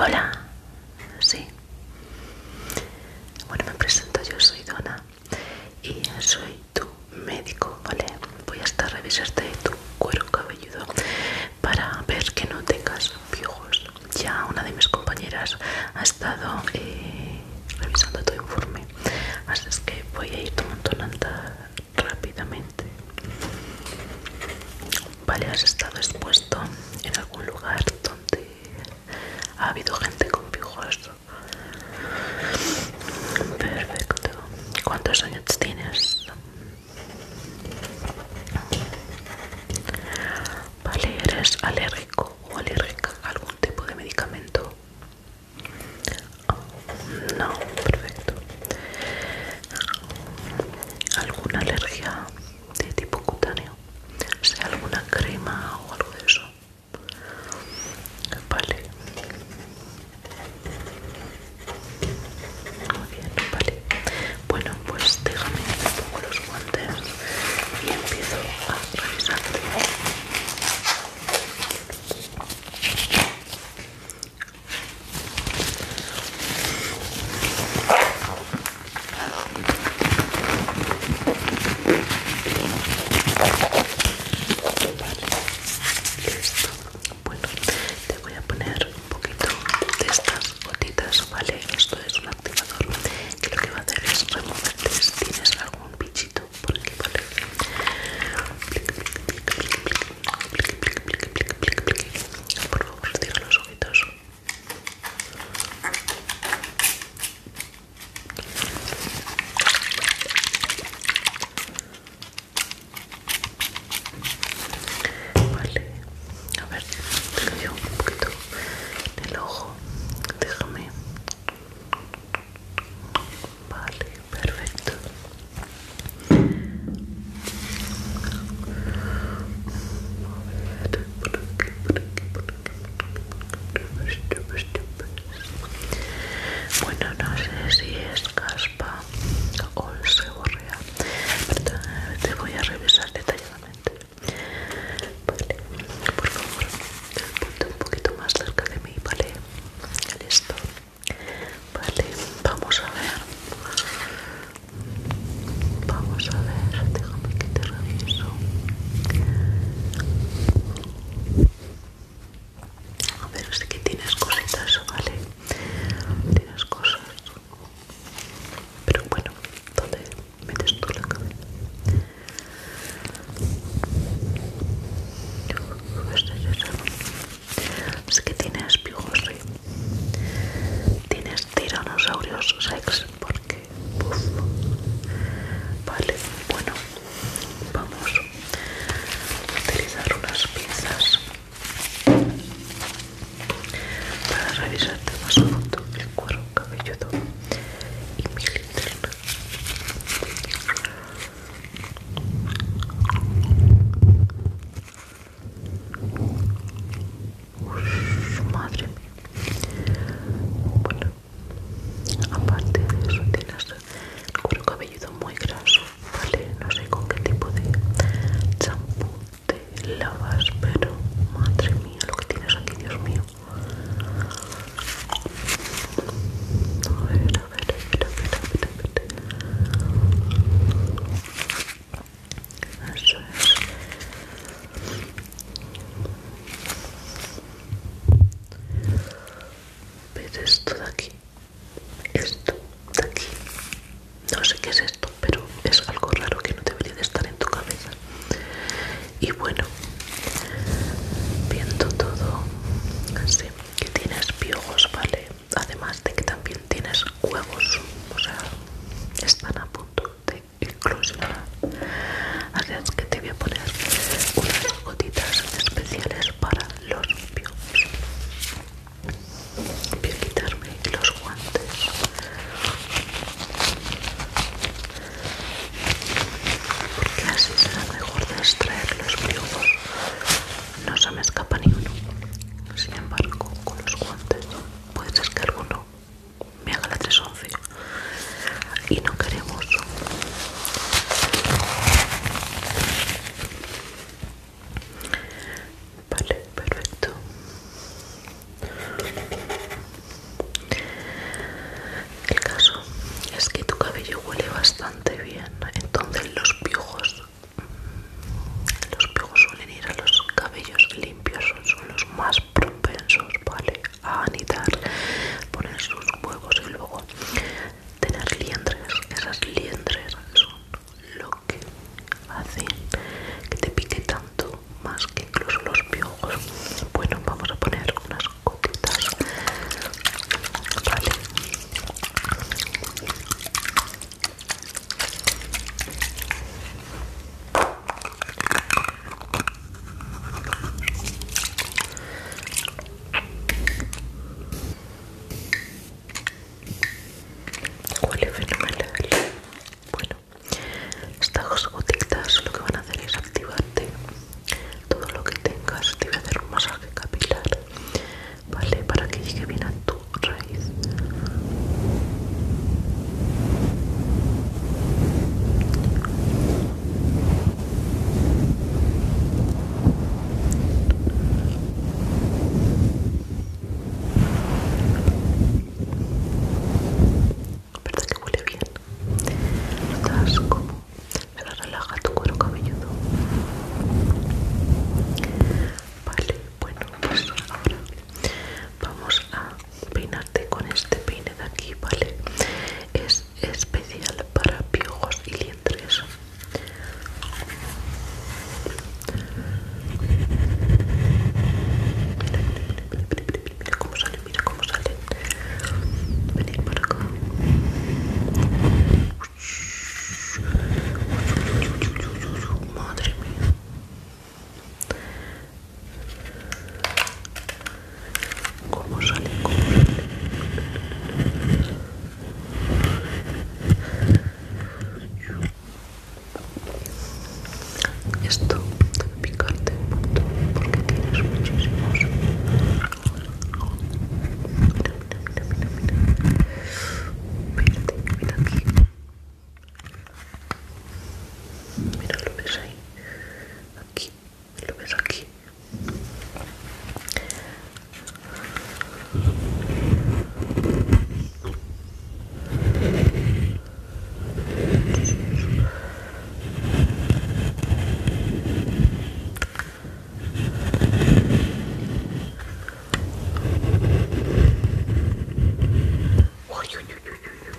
Hola, sí. Bueno, me presento, yo soy Dona y soy tu médico, ¿vale? Voy a estar revisarte tu cuero cabelludo para ver que no tengas piojos. Ya una de mis compañeras ha estado eh, revisando tu informe, así es que voy a ir tomando nota rápidamente. Vale, has estado expuesto en algún lugar donde ha habido gente con pijos Perfecto. ¿Cuántos años tienes? Vale, ¿eres alérgico o alérgica a algún tipo de medicamento? No, perfecto. ¿Alguna alergia de tipo cutáneo, sea alguna crema o algo de eso. Vale. Muy bien, vale. Bueno, pues déjame un poco los guantes y empiezo a revisar. Listo. Bueno, te voy a poner un poquito de estas gotitas, ¿vale? Esto es un activador que lo que va a hacer es removerte si tienes algún bichito por aquí, ¿vale? Por favor, los ojitos. Vale, a ver, te cayó un poquito el ojo, déjame. Vale, perfecto. Bueno, no sé si es caspa o se borrea, pero te voy a revisar detalladamente. Vale, por favor, ponte un poquito más cerca de mí, ¿vale? Listo. Vale, vamos a ver. Vamos a ver, déjame que te reviso. A ver, sé que tienes cositas, ¿vale? Tienes cosas. Pero bueno, ¿dónde metes tú la cabeza? estoy es es que tienes piojos, tienes tiranosaurios sex, porque Vale, bueno, vamos a utilizar unas pinzas para revisarte más a fondo el cuero cabelludo y mi linterna madre mía. Bueno, aparte de eso tienes el cuero cabelludo muy graso, ¿vale? No sé con qué tipo de champú te lavas, pero madre mía, lo que tienes aquí, Dios mío. Eso es. ¿Ves esto de aquí? Esto de aquí. No sé qué es esto, pero es algo raro que no debería de estar en tu cabeza. Y bueno, viendo todo así, que tienes piojos, ¿vale? además de que también tienes huevos o sea están a punto de eclosionar así es que te voy a poner unas gotitas especiales para los piojos voy a quitarme los guantes porque así será mejor extraer los piojos no se me escapa ninguno. Sin embargo, con los guantes puede ser que alguno me haga la 311 y no queremos. Vale, perfecto. El caso es que tu cabello huele bastante bien, entonces los piojos los piojos suelen ir a los cabellos limpios, son los más propensos, ¿vale? A anidar, poner sus huevos y luego tener liendres. Esas liendres son lo que hacen que te pique tanto más que incluso los piojos. Bueno, vamos a poner unas gotitas, ¿vale? Huele fenomenal. Bueno, estas gotitas lo que van a hacer es activarte todo lo que tengas. Te voy a hacer un masaje capilar ¿vale? Para que llegue bien a tu raíz. ¿Verdad que huele bien? Notas como me relaja tu cuero cabelludo. Vale, bueno, pues ahora vamos a peinarte con este peine de aquí, ¿vale? Es especial para piojos y liendres. Mira, mira, mira, mira, mira cómo sale, mira cómo sale. Venid para acá. Madre mía. ¿Cómo sale? ¿Cómo Esto picarte un montón porque tienes muchísimos mira, mira, mira, mira. mira aquí. Mira, lo ves ahí. Aquí, lo ves aquí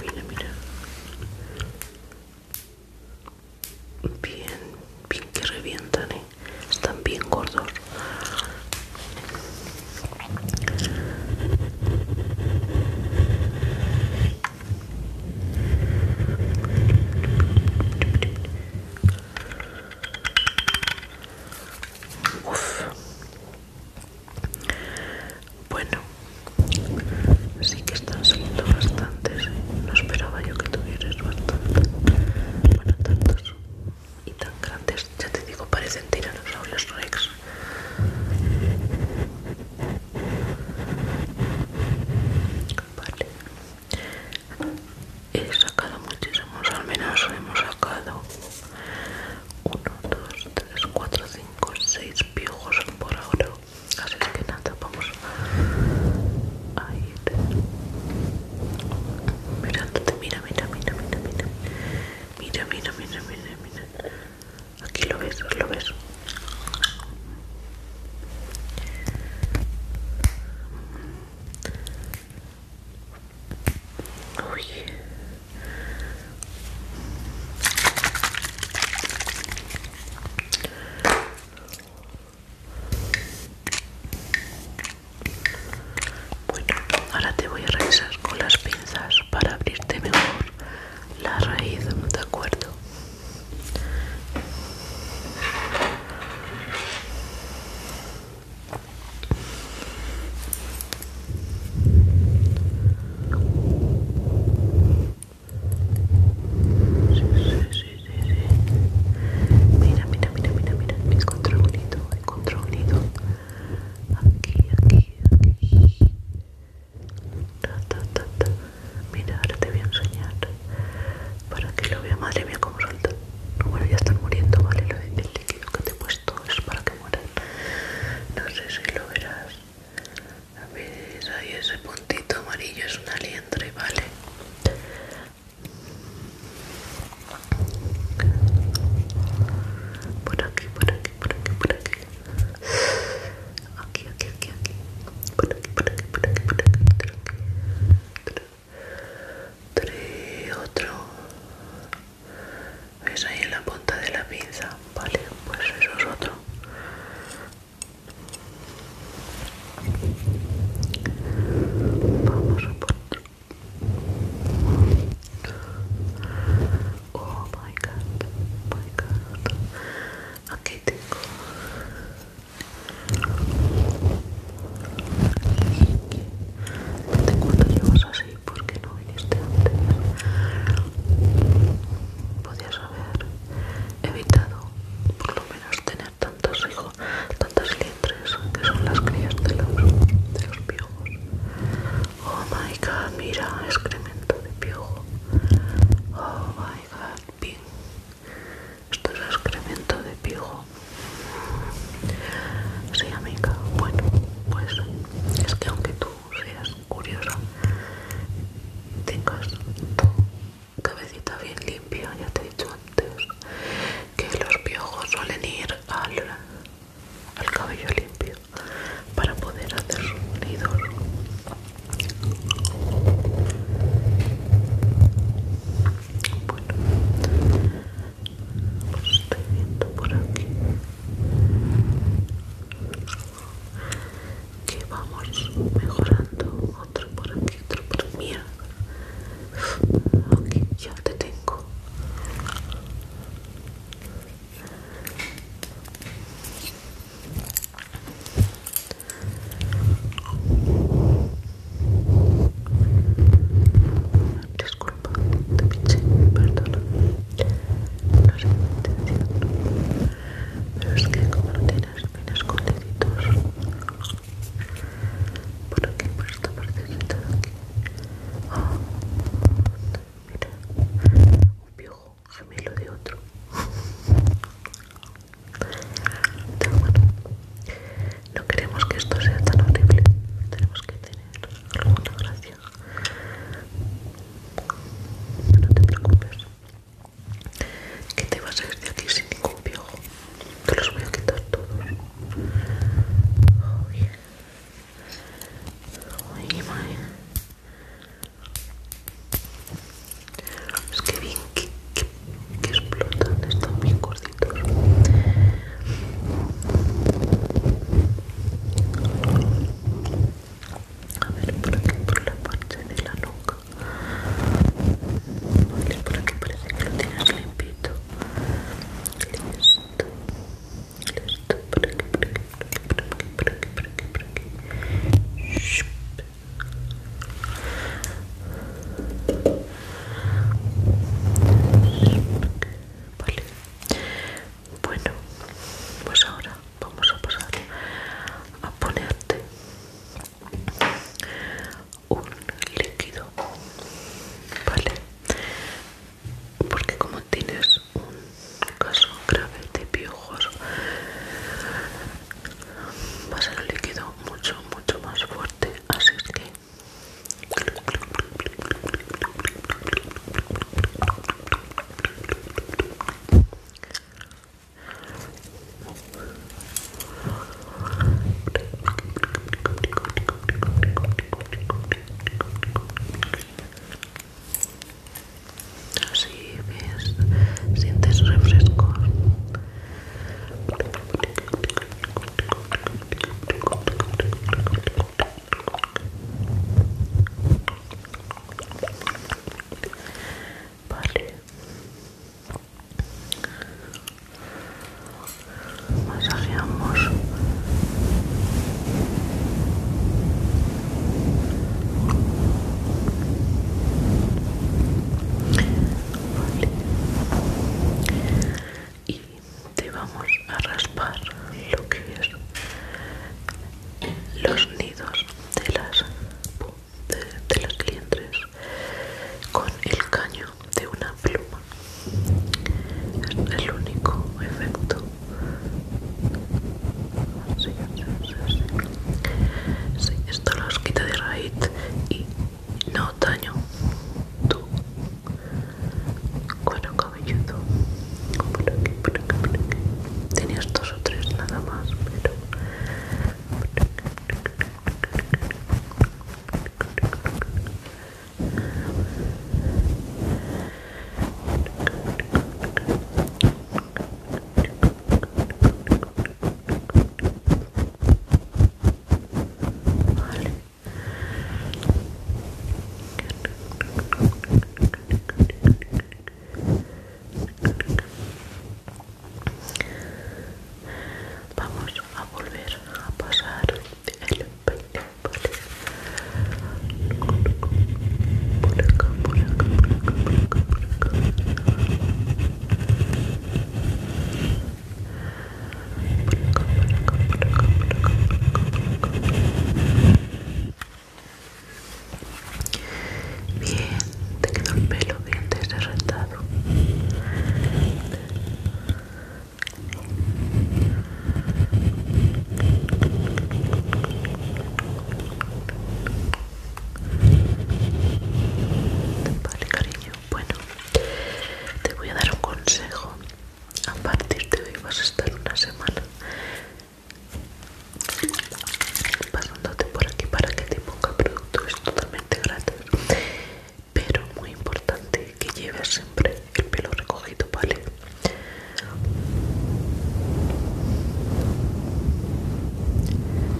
mira, mira. Bien, bien que revientan, ¿eh? Están bien gordos. Uf. Bueno, sí que están saliendo bastantes. No esperaba yo que tuvieras bastante. Bueno, tantos y tan grandes. Ya te digo, parecen los rex. Vale, he sacado muchísimos al menos hemos sacado 1, 2, 3, 4, 5, 6 piojos por ahora así que nada vamos a ir mirándote mira mira mira mira mira mira mira mira mira aquí lo ves lo ves Uy. Bueno, ahora te voy a revisar con las pinzas para abrirte mejor la raíz, ¿de acuerdo? sí, Mira, mira, mira, mira, mira. Encontré un nido, encontré un nido. Aquí, aquí, aquí. Mira, ahora te voy a enseñar. Para que lo vea, madre mía, como suelta no bueno ya están muriendo vale lo del líquido que te he puesto es para que mueran no sé si lo verás a ver ahí ese puntito amarillo es una y vale por aquí por aquí por aquí por aquí aquí aquí aquí aquí por aquí por aquí por aquí por aquí, por aquí tres, otro ves ahí en la punta de la pinza vale pues eso es otro vamos a por otro oh my god oh my god aquí tengo ¿De cuánto llevas así? porque no viniste antes? Podías haber evitado por lo menos tener tantos hijos, tantas liendres que son las crías de los, de los piojos. Oh my god, mira, excremento de piojo. Oh my god, bien. Esto es excremento de pijo. Sí, amiga. Bueno, pues es que aunque tú seas curiosa, tengas tu cabecita bien limpia, ya te he dicho antes que los piojos suelen ir al, cabello limpio para poder hacer ruido. Bueno, pues estoy viendo por aquí. Que vamos mejorando. Otro por aquí, otro por mira Ok, ya te tengo. Disculpa, te pinche, perdón. No sé te intención. Pero es que como no tienes bien escondiditos por aquí, por esta partecita de aquí. Ah, mira, un viejo gemelo de otro no queremos que esto sea tan horrible. Tenemos que tener alguna gracia. No te preocupes. Que te vas a ir de aquí sin ningún piojo. Te los voy a quitar todos. Es que bien que, explotan, están bien gorditos. A ver, por aquí, por la parte de la nuca. Vale, por aquí parece que lo tienes limpito. Listo. Listo, por aquí, por aquí, por aquí, por aquí, por aquí, por aquí, Vale. Bueno, pues ahora vamos a pasar a ponerte un líquido, ¿vale? Porque como tienes un caso grave de piojos, va a ser el líquido mucho mucho más fuerte así que Así ves, sientes refresco, Vale. Masajeamos y te vamos a raspar lo que es los nidos de las, de, las con el caño de una pluma. Es el único efecto sí, sí, sí, sí. sí esto los quita de raíz y no daño Tú, cuero cabelludo por aquí, por aquí, por aquí. tenías dos o tres nada más pero Vale. Vamos a volver a pasar el peine vale. Bien, te quedó el pelo bien desarrentado. Vale, cariño. Bueno, te voy a dar un consejo. A partir de hoy vas a estar una semana pasándote por aquí para que te ponga producto. Es totalmente gratis. Pero muy importante que lleves siempre el pelo recogido, ¿vale? Vale, tú nunca.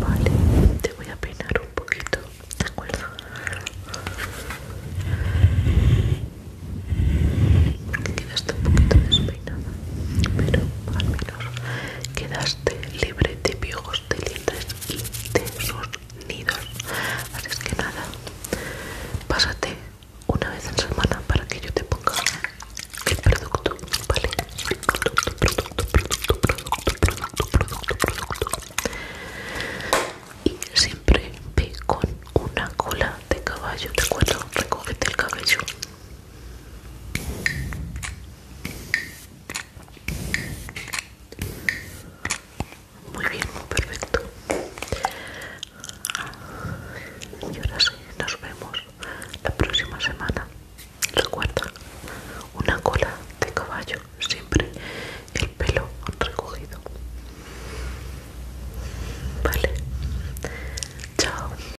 Vale, te voy a peinar un poquito, ¿de acuerdo? Quedaste un poquito despeinada, pero al menos quedaste libre de piojos, de libres y de sus nidos. Así que nada, pásate una vez en semana para que yo te ponga el producto, ¿vale? Producto, producto, producto, producto, producto, producto, Y siempre ve con una cola de caballo, ¿te acuerdo? Recogete el cabello muy bien, perfecto. Y ahora sí, nos vemos la próxima semana. Recuerda, una cola de caballo, siempre el pelo recogido. Vale, chao.